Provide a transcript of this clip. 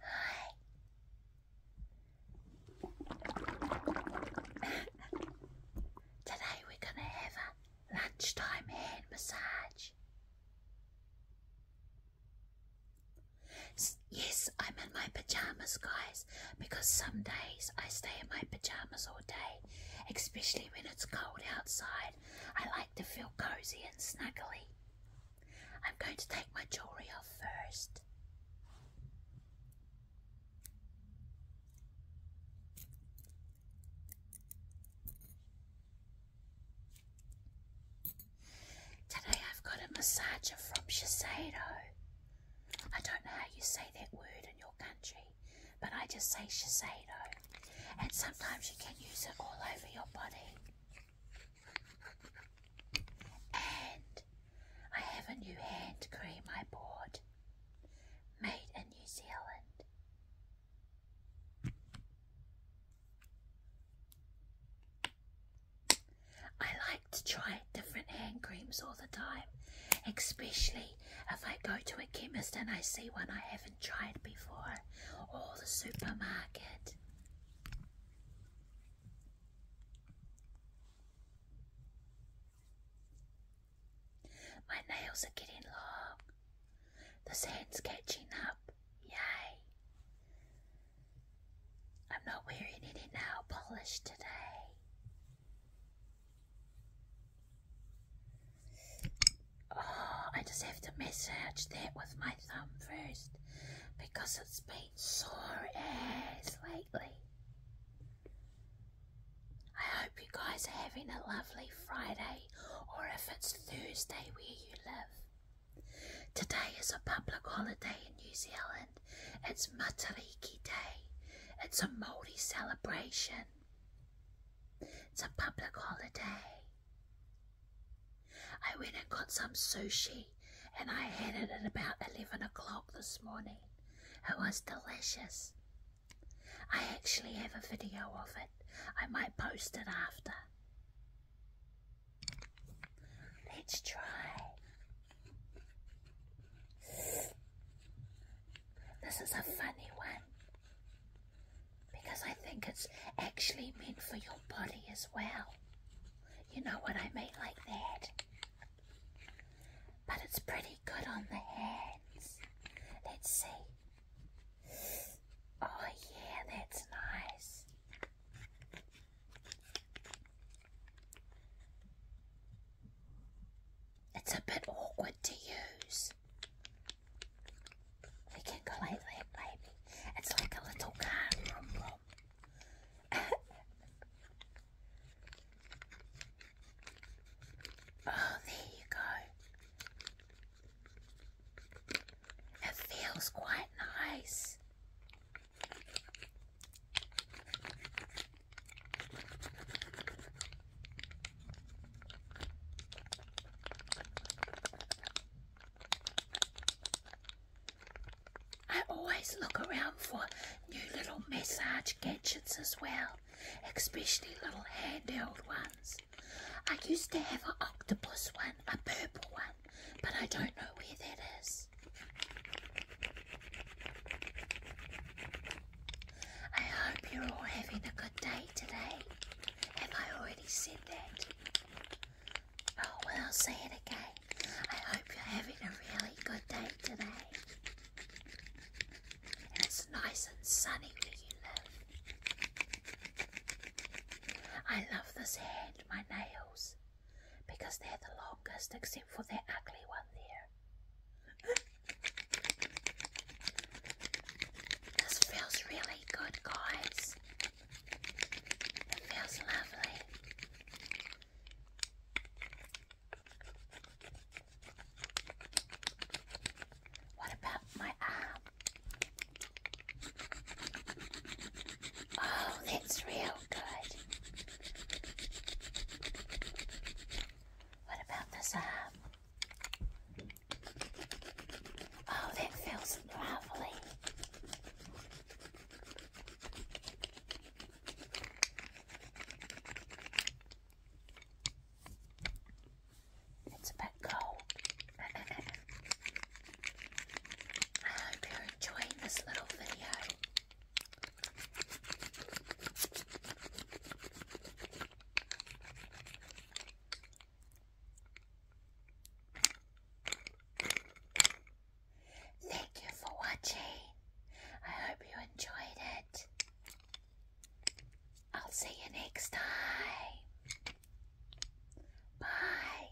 Hi. Today we're going to have a lunchtime hand massage. yes, I'm in my pajamas, guys, because some days I stay in my pajamas all day, especially when it's cold outside. I like to feel cozy and snuggly. I'm going to take my jewelry off first. Today I've got a massager from Shiseido. I don't know how you say that word in your country, but I just say Shiseido and sometimes you can use it all over your body. And I have a new hand cream I bought made in New Zealand. I like to try different hand creams all the time, especially if I go to a chemist and I see one I haven't tried before, or the supermarket. My nails are getting long. The sand's catching up. Yay! I'm not wearing any nail polish today. Oh, I just have to massage that with my thumb first because it's been sore as lately. I hope you guys are having a lovely Friday or if it's Thursday where you live. Today is a public holiday in New Zealand. It's Matariki Day. It's a Māori celebration. It's a public holiday. I went and got some sushi and I had it at about 11 o'clock this morning. It was delicious. I actually have a video of it. I might post it after. Let's try. This is a funny one. Because I think it's actually meant for your body as well. You know what I mean, like that. But it's pretty good on the hands. Let's see. Oh, yeah, that's nice. It's a bit awkward to use. We can go like that, baby. It's like a little car. oh, there you go. It feels quite nice. I always look around for new little massage gadgets as well, especially little handheld ones. I used to have an octopus one, a purple one, but I don't know where that is. I hope you're all having a good day today. Have I already said that? Oh, well, I'll say it again. I hope you're having a really good day today. it's nice and sunny where you live. I love this hand, my nails because they're the longest except for the ugly one there. this feels really good, guys. It feels lovely. What about my arm? Oh, that's real good. What about this arm? Oh, that feels lovely. It's a bit cold. I hope you're enjoying this little video. Thank you for watching. I hope you enjoyed it. I'll see you next time. Bye.